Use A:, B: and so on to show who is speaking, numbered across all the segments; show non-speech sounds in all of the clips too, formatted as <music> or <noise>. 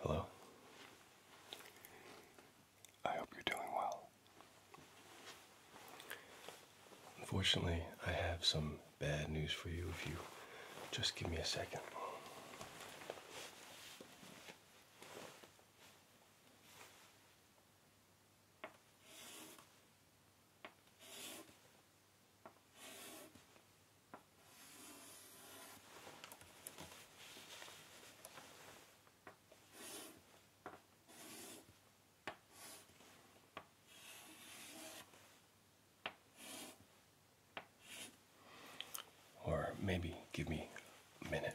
A: Hello. I hope you're doing well. Unfortunately, I have some bad news for you if you just give me a second. Or maybe give me a minute.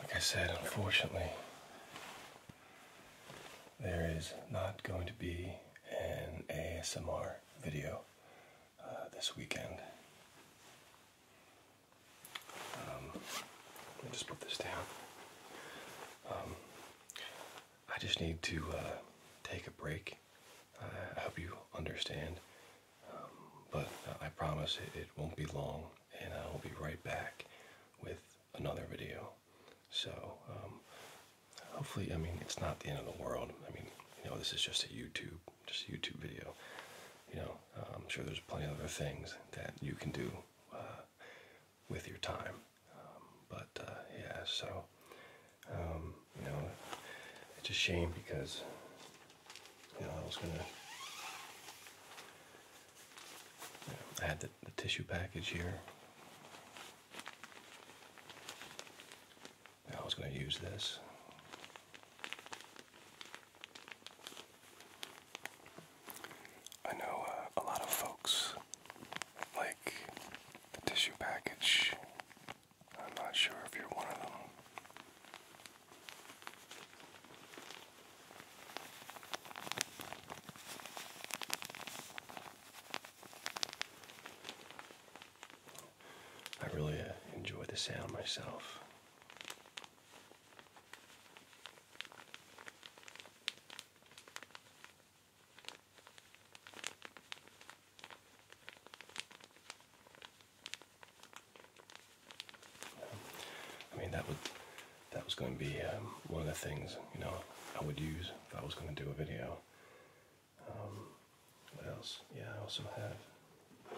A: Like I said, unfortunately, there is not going to be an ASMR video uh, this weekend. Um, let me just put this down. Um, I just need to uh, take a break. I hope you understand. Um, but I promise it won't be long, and I will be right back with another video. So um, hopefully, I mean, it's not the end of the world. I mean, you know, this is just a YouTube, just a YouTube video. You know, uh, I'm sure there's plenty of other things that you can do uh, with your time. Um, but uh, yeah, so um, you know, it's a shame because you know I was gonna. add the tissue package here. I was going to use this. I know uh, a lot of folks like the tissue package. I'm not sure if you're one of them. I really uh, enjoy the sound myself. I mean that would that was going to be um, one of the things you know I would use if I was going to do a video. Um, what else? Yeah, I also have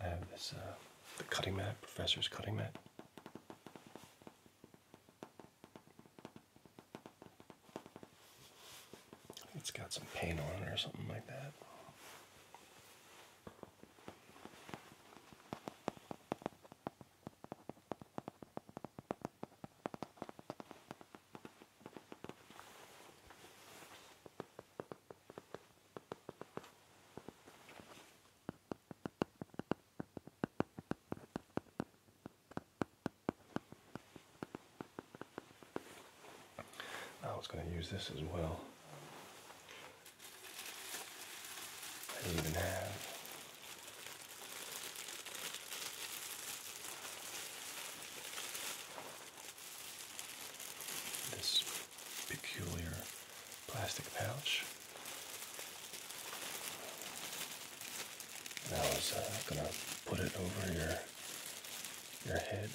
A: I have this uh, the cutting mat, professor's cutting mat. It's got some paint on it or something like that. I was going to use this as well. I even have. This peculiar plastic pouch. I was uh, gonna put it over your your head.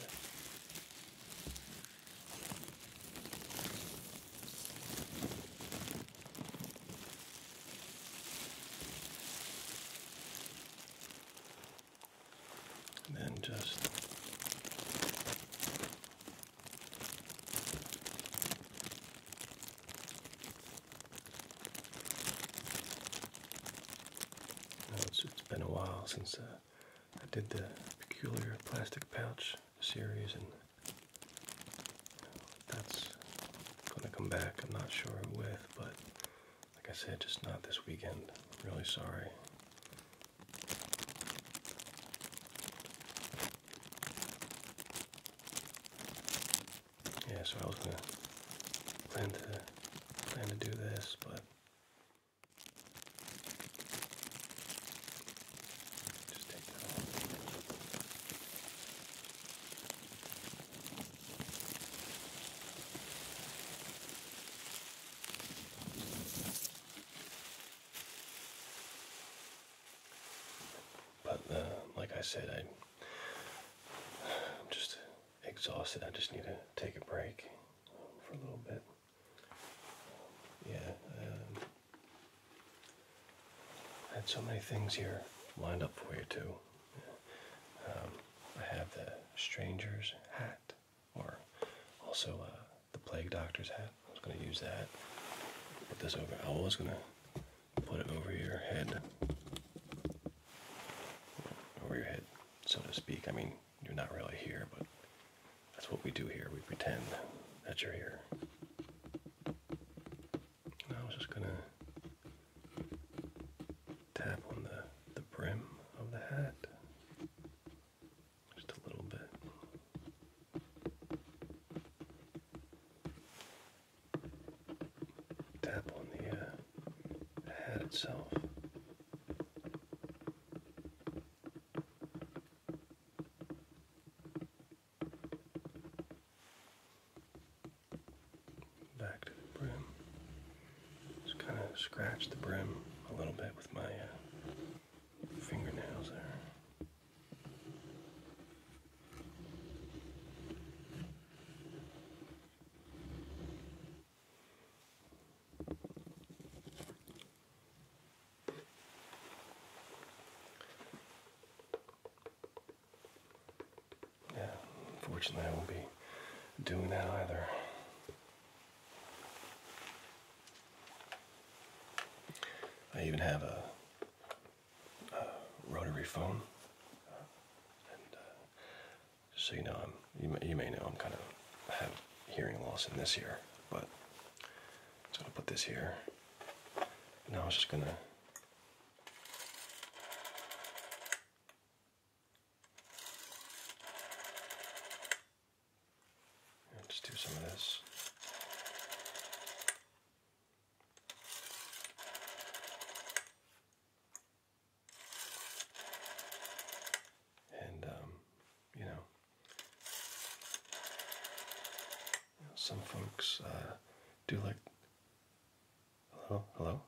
A: And then just it's, it's been a while since uh, I did the peculiar plastic pouch series, and that's gonna come back. I'm not sure with, but like I said, just not this weekend. really sorry. Yeah, so I was gonna plan to plan to do this, but but uh, like I said, I, am just exhausted. I just need to take a break for a little bit. yeah. Um, I had so many things here lined up for you too. Um, I have the stranger's hat, or also uh, the plague doctor's hat. I was going to use that. Put this over. I was going to put it over your head, over your head, so to speak. I mean, you're not really here, but that's what we do here. We pretend that you're here. I was just gonna tap on the the brim of the hat just a little bit. Tap on the uh, hat itself. Back to the brim. Just kind of scratch the brim a little bit with my uh, fingernails there. Yeah, unfortunately, I won't be doing that either. I even have a, rotary phone, and uh, so you know, I'm, you, you may know I'm kind of have hearing loss in this ear, but so i will put this here. now I am just gonna Let's do some of this. And, um, you know, some folks uh, do like. Hello, hello.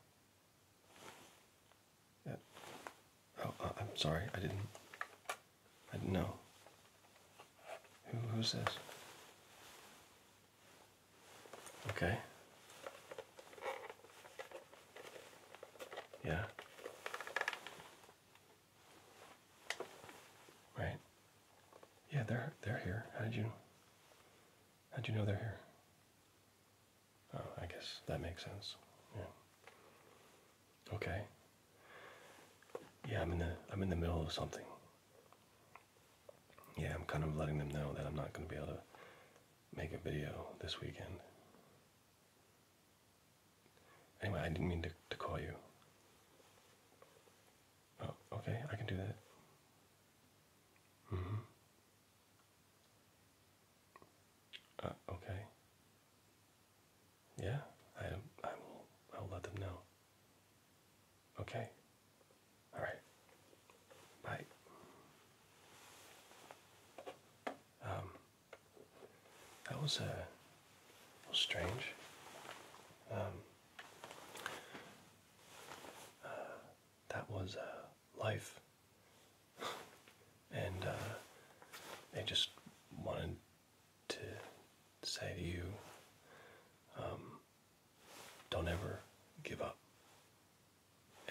A: Yeah. Oh, uh, I'm sorry. I didn't. I didn't know. Who? Who's this? Okay. Yeah. Right. Yeah, they're they're here. How did you how did you know they're here? Oh, I guess that makes sense. Yeah. Okay. Yeah, I'm in the I'm in the middle of something. Yeah, I'm kind of letting them know that I'm not going to be able to make a video this weekend. Anyway, I didn't mean to, to call you. Oh, okay, I can do that. Mm hmm. okay. Yeah, I, I will. I'll let them know. Okay. All right. Bye. Um, that was uh, a strange. Um. Uh, that was uh, life. <laughs> and uh, I just wanted to say to you um, don't ever give up.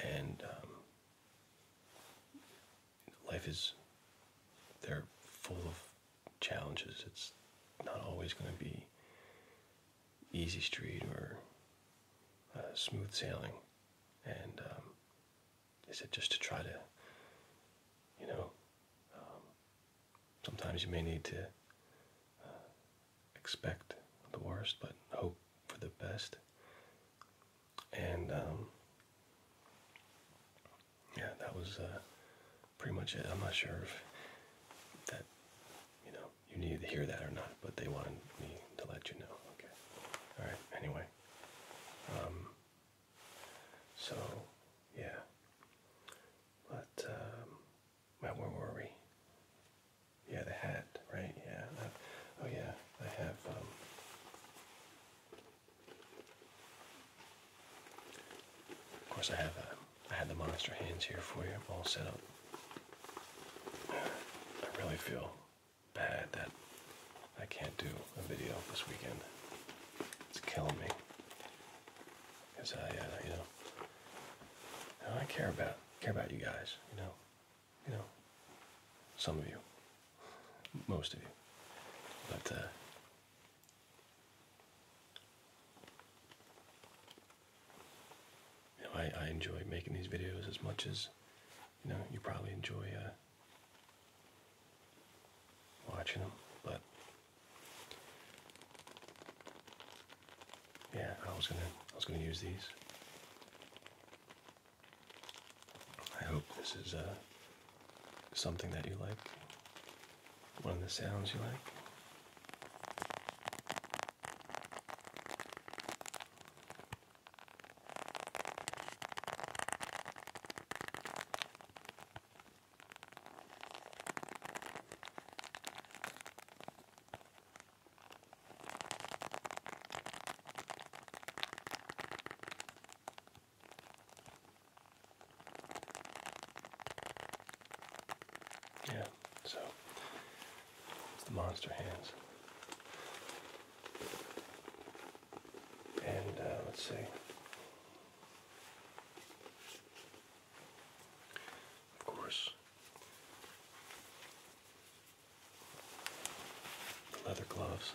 A: And um, life is, they're full of challenges. It's not always going to be easy street or uh, smooth sailing. And um, is it just to try to, you know, um, sometimes you may need to uh, expect the worst, but hope for the best. And um, yeah, that was uh, pretty much it. I'm not sure if that, you know, you needed to hear that or not, but they wanted me to let you know. Okay. All right. Anyway. Um, so, yeah. But, um, where were we? Yeah, the hat, right? Yeah. oh, yeah. I have, um, of course, I have a, uh, I had the monster hands here for you, all set up. I really feel bad that I can't do a video this weekend. It's killing me. Cause I, uh, you know, I care about care about you guys. You know, you know, some of you, most of you, but. Uh, I, enjoy making these videos as much as, you know, you probably enjoy uh, watching them, but yeah, I was gonna, I was gonna use these. I hope this is uh, something that you like one of the sounds you like. Yeah, so it's the monster hands. And uh, let's see. Of course, the leather gloves.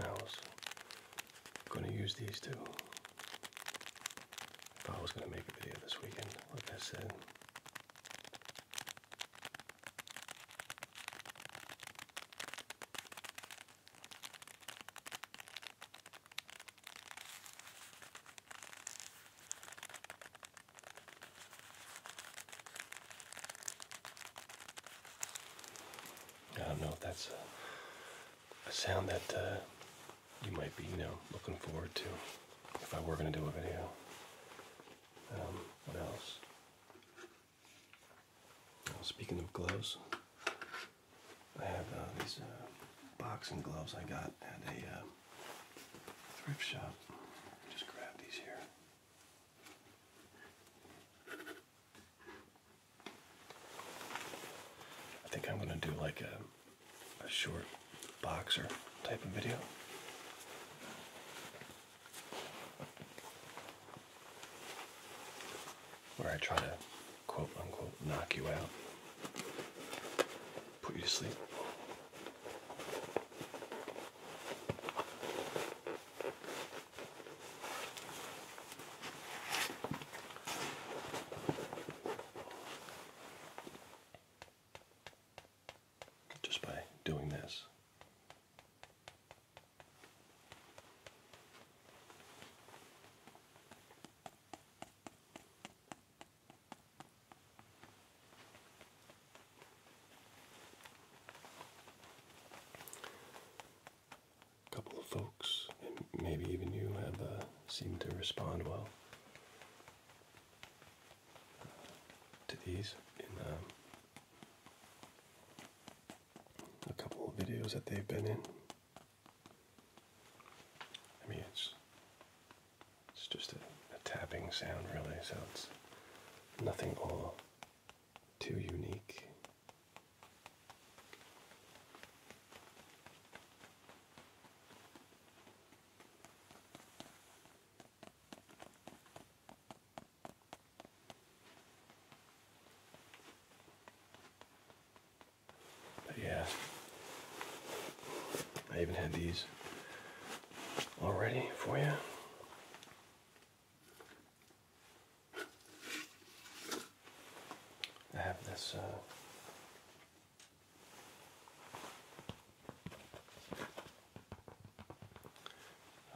A: I was going to use these two I was going to make a video this weekend, like I said. I don't know if that's a, sound that uh, you might be, you know, looking forward to if I were going to do a video. Um, what else? Oh, speaking of clothes. I have uh, these uh, boxing gloves I got at a uh, thrift shop. Just grab these here. I think I'm going to do like a, a short boxer type of video where I try to quote unquote knock you out, put you to sleep. Just by doing this. A couple of folks, and maybe even you, have uh, seemed to respond well uh, to these in um, a couple of videos that they've been in. I mean, it's it's just a, a tapping sound, really. So it's nothing all too unique. But yeah, I even had these already for you. I have this uh,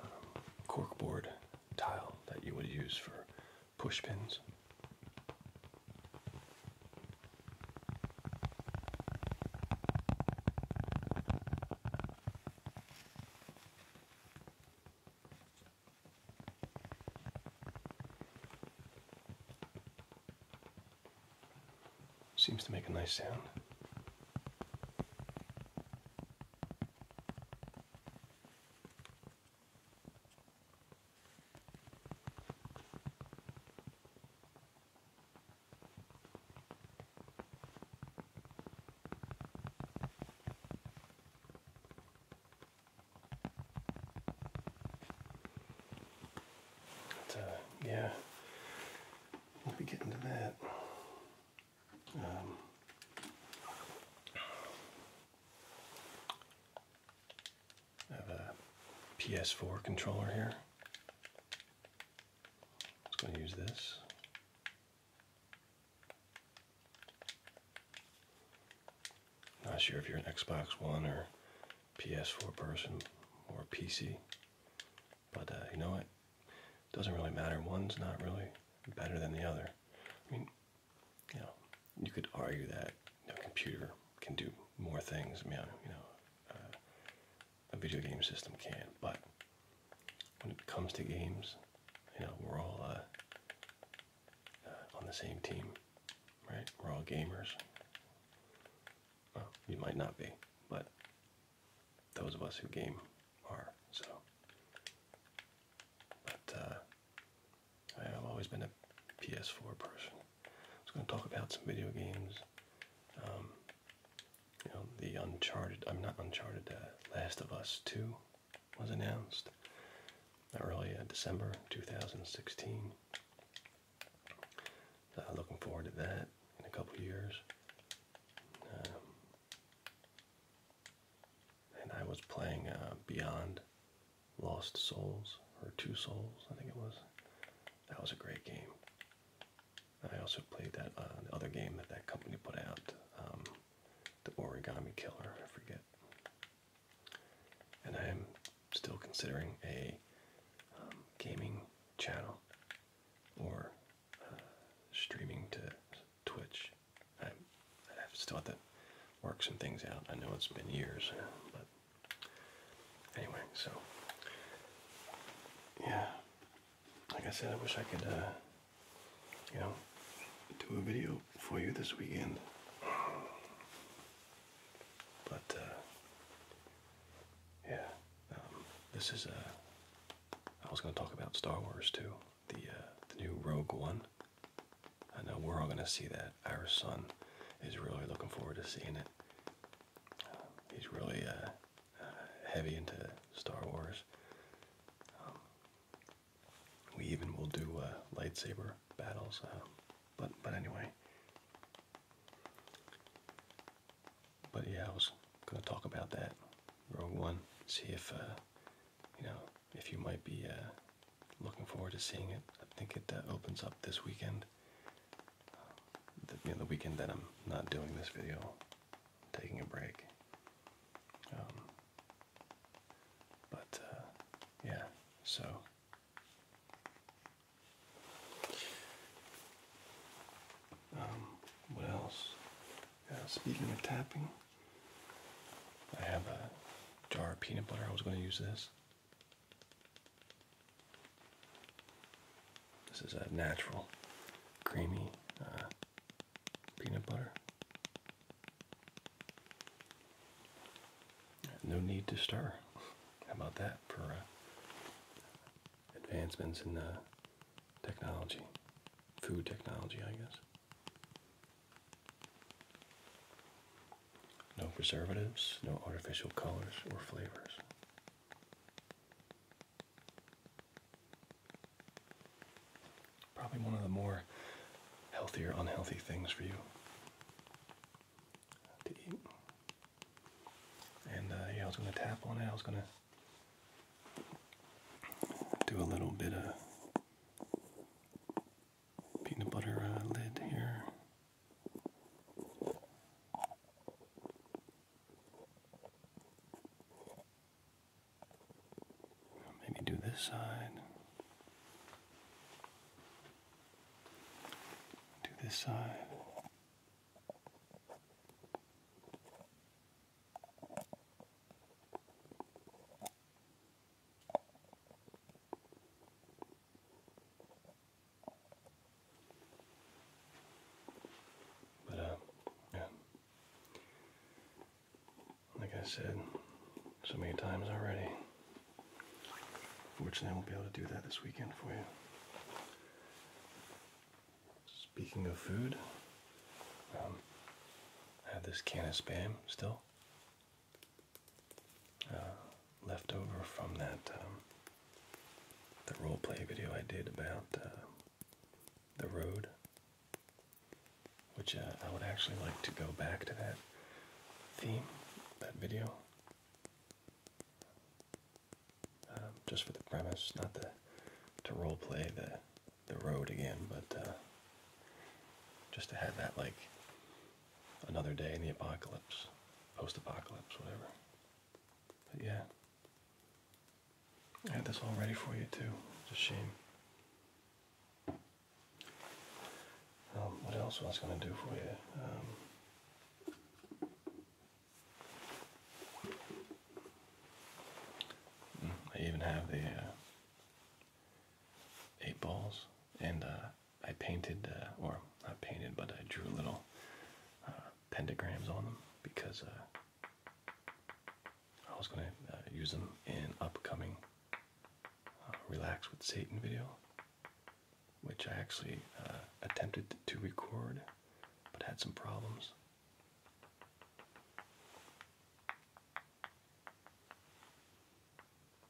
A: um, corkboard tile that you would use for Pushpins. Seems to make a nice sound. Uh, yeah, we'll be getting to that. Um, I have a PS4 controller here. I'm just going to use this. Not sure if you're an Xbox One or PS4 person or PC, but uh, you know what? Doesn't really matter. One's not really better than the other. I mean, you know, you could argue that you a computer can do more things. You you know uh, a video game system can, but when it comes to games, you know, we're all uh, uh, on the same team, right? We're all gamers. Well, you might not be, but those of us who game are so. But I've always been a PS4 person. I was going to talk about some video games. Um, you know, the Uncharted, I'm not Uncharted, uh, Last of Us 2 was announced early uh, December 2016. Uh, looking forward to that in a couple years. Um, and I was playing uh, Beyond Lost Souls or Two Souls, I think it was. That was a great game. I also played that uh, other game that that company put out, um, the Origami Killer. I forget. And I am still considering a um, gaming channel or uh, streaming to Twitch. I still have to work some things out. I know it's been years, but anyway, so yeah. Like I said, I wish I could, uh, you know, do a video for you this weekend, but uh, yeah. Um, this is uh, I was going to talk about Star Wars too, the the new Rogue One. I know we're all going to see that. Our son is really looking forward to seeing it. Um, he's really uh, uh, heavy into Star Wars. Um, we even will do uh, lightsaber battles. Um, but but anyway. But yeah, I was going to talk about that. Rogue One. See if uh, you know, if you might be uh, looking forward to seeing it, I think it uh, opens up this weekend. Um, the, weekend that I'm not doing this video, taking a break. Um, but uh, yeah, so. Um, what else? speaking of tapping. I have a jar of peanut butter. I was going to use this. This is a natural, creamy uh, peanut butter. No need to stir. <laughs> How about that for uh, advancements in uh, technology, food technology, I guess. No preservatives, no artificial colors or flavors. Probably one of the more healthy or unhealthy things for you to eat. And uh, yeah, I was going to tap on it. I was going to do a little bit of peanut butter uh, lid here. Maybe do this side. Do this side. But, uh, yeah. Like I said so many times already, fortunately, I won't be able to do that this weekend for you. Speaking of food, um, I have this can of spam still uh, left over from that um, the role play video I did about uh, the road, which uh, I would actually like to go back to that theme, that video, um, just for the premise, not the to role play the the road again, but uh, just to have that like another day in the apocalypse, post apocalypse, whatever. But yeah. I had this all ready for you too. It's a shame. Um, what else was I going to do for you? Um, hmm, I even have the uh, eight balls, and uh, I painted, uh, or not painted, but I drew little uh, pentagrams on them because I was going to use them in upcoming Relax with Satan video, which I actually attempted to record, but had some problems.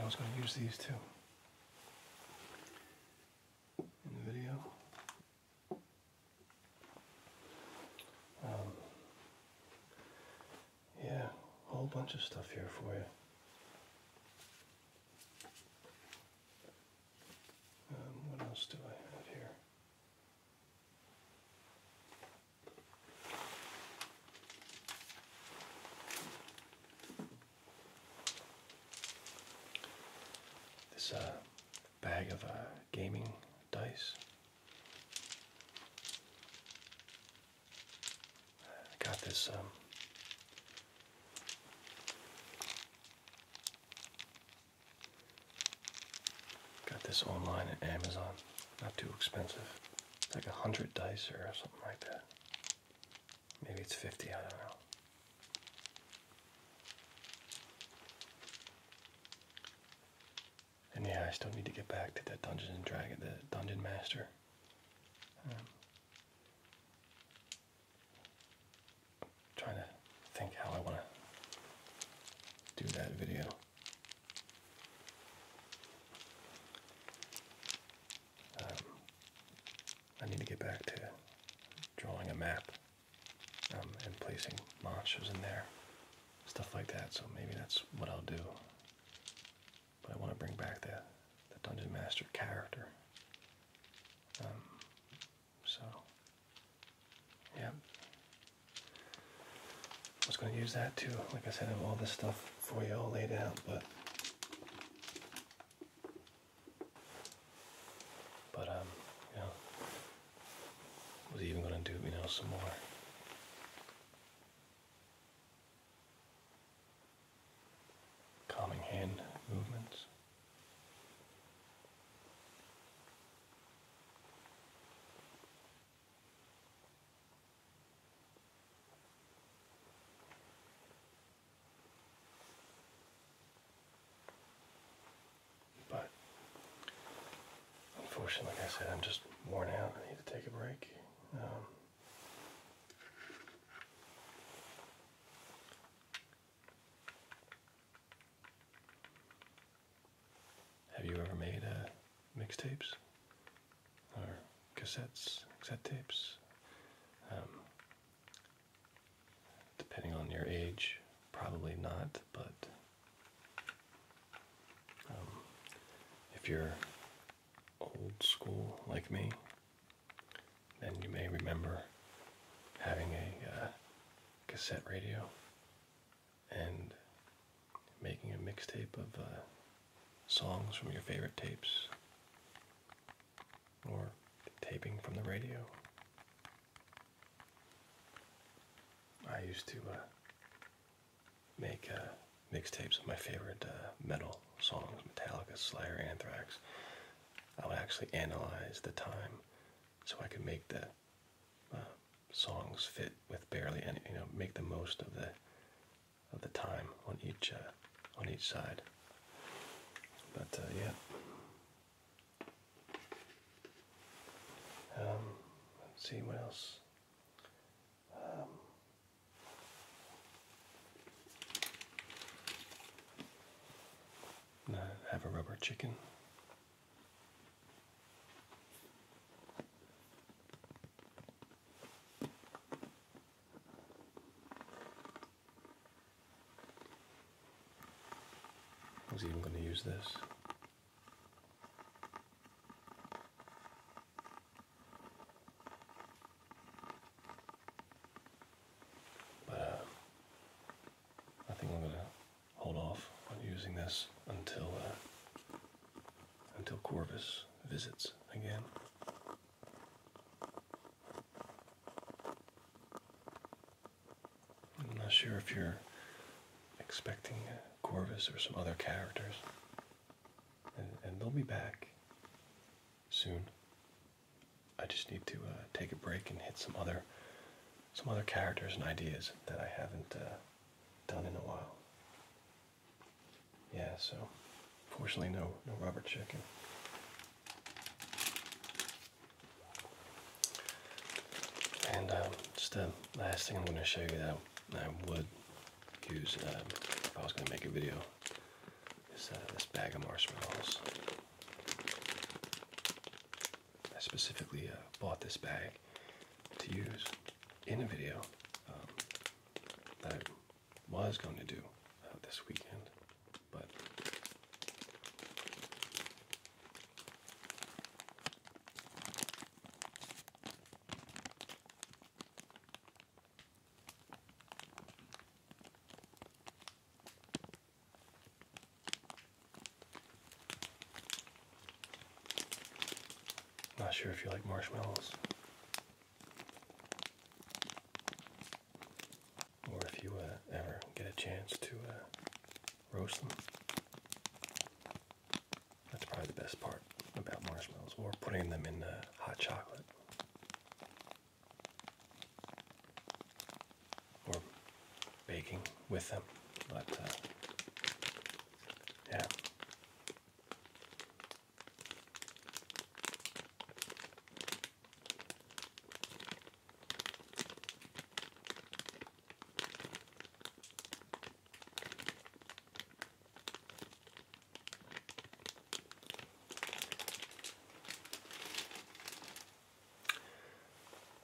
A: I was going to use these too in the video. Um, yeah, a whole bunch of stuff here for you. Um, what else do I have here? This uh, bag of uh, gaming dice. I got this um, Got this online at Amazon. Not too expensive. It's like a hundred dice or something like that. Maybe it's 50, I don't know. And yeah, I still need to get back to that Dungeons and Dragon, the Dungeon Master. Um, i trying to think how I want to do that video. Um, I need to get back to drawing a map um, and placing monsters in there, stuff like that. So maybe that's what I'll do. But I want to bring back the, the Dungeon Master character. Um, so, yeah. I was going to use that too. Like I said, I have all this stuff for you all laid out, but but um, was even going to do you know some more. Calming hand movements. But unfortunately, like I said, I'm just worn out. I need to take a break. Um, have you ever made uh, mixtapes or cassettes, cassette tapes? Um, depending on your age, probably not, but um, if you're old school like me, and you may remember having a uh, cassette radio and making a mixtape of uh, songs from your favorite tapes or taping from the radio. I used to uh, make mixtapes of my favorite metal songs, Metallica, Slayer, Anthrax. I would actually analyze the time so I could make the uh, songs fit with barely any, you know, make the most of the of the time on each uh, on each side. But uh, yeah. Um, let's see what else. Um, have a rubber chicken. I was even going to use this. But uh, I think I'm going to hold off on using this until uh, until Corvus visits again. I'm not sure if you're expecting uh, Corvus or some other characters, and, and they'll be back soon. I just need to uh, take a break and hit some other some other characters and ideas that I haven't uh, done in a while. Yeah, so fortunately no no rubber chicken. And um, just the um, last thing I'm going to show you that I would use um, if I was going to make a video is uh, this bag of marshmallows. I specifically uh, bought this bag to use in a video um, that I was going to do uh, this weekend, but not sure if you like marshmallows or if you uh, ever get a chance to uh, roast them. That's probably the best part about marshmallows or putting them in uh, hot chocolate or baking with them, but uh, yeah.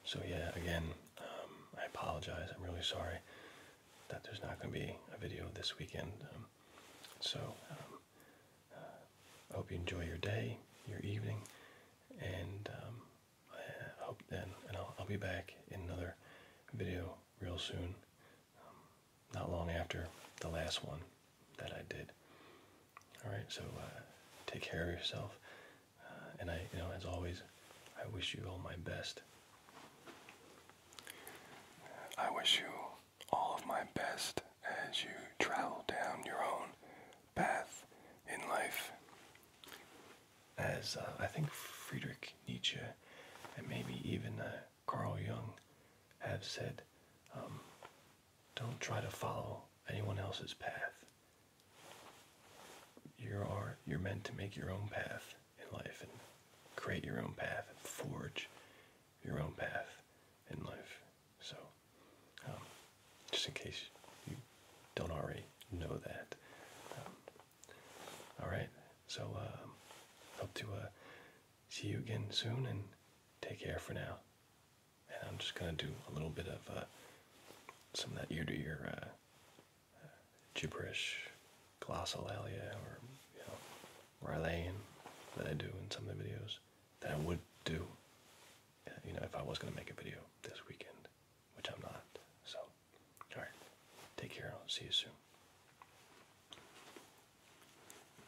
A: So yeah, again, um, I apologize. I'm really sorry that there's not going to be a video this weekend. Um, so I um, uh, hope you enjoy your day, your evening, and I uh, hope then, and I'll, be back in another video real soon, not long after the last one that I did. All right, so uh, take care of yourself, uh, and I, you know, as always, I wish you all my best. I wish you all of my best as you travel down your own path in life. As uh, I think Friedrich Nietzsche and maybe even Carl Jung have said, um, don't try to follow anyone else's path. You are you're meant to make your own path in life and create your own path and forge your own path in life. So, um, just in case you don't already know that. Um, all right. So, um, hope to uh, see you again soon and take care for now and I'm just gonna do a little bit of uh, some of that ear-to-ear uh, gibberish, glossolalia, or you know, Rylayan that I do in some of the videos that I would do, uh, you know, if I was gonna make a video this weekend, which I'm not. So, all right, take care. I'll see you soon.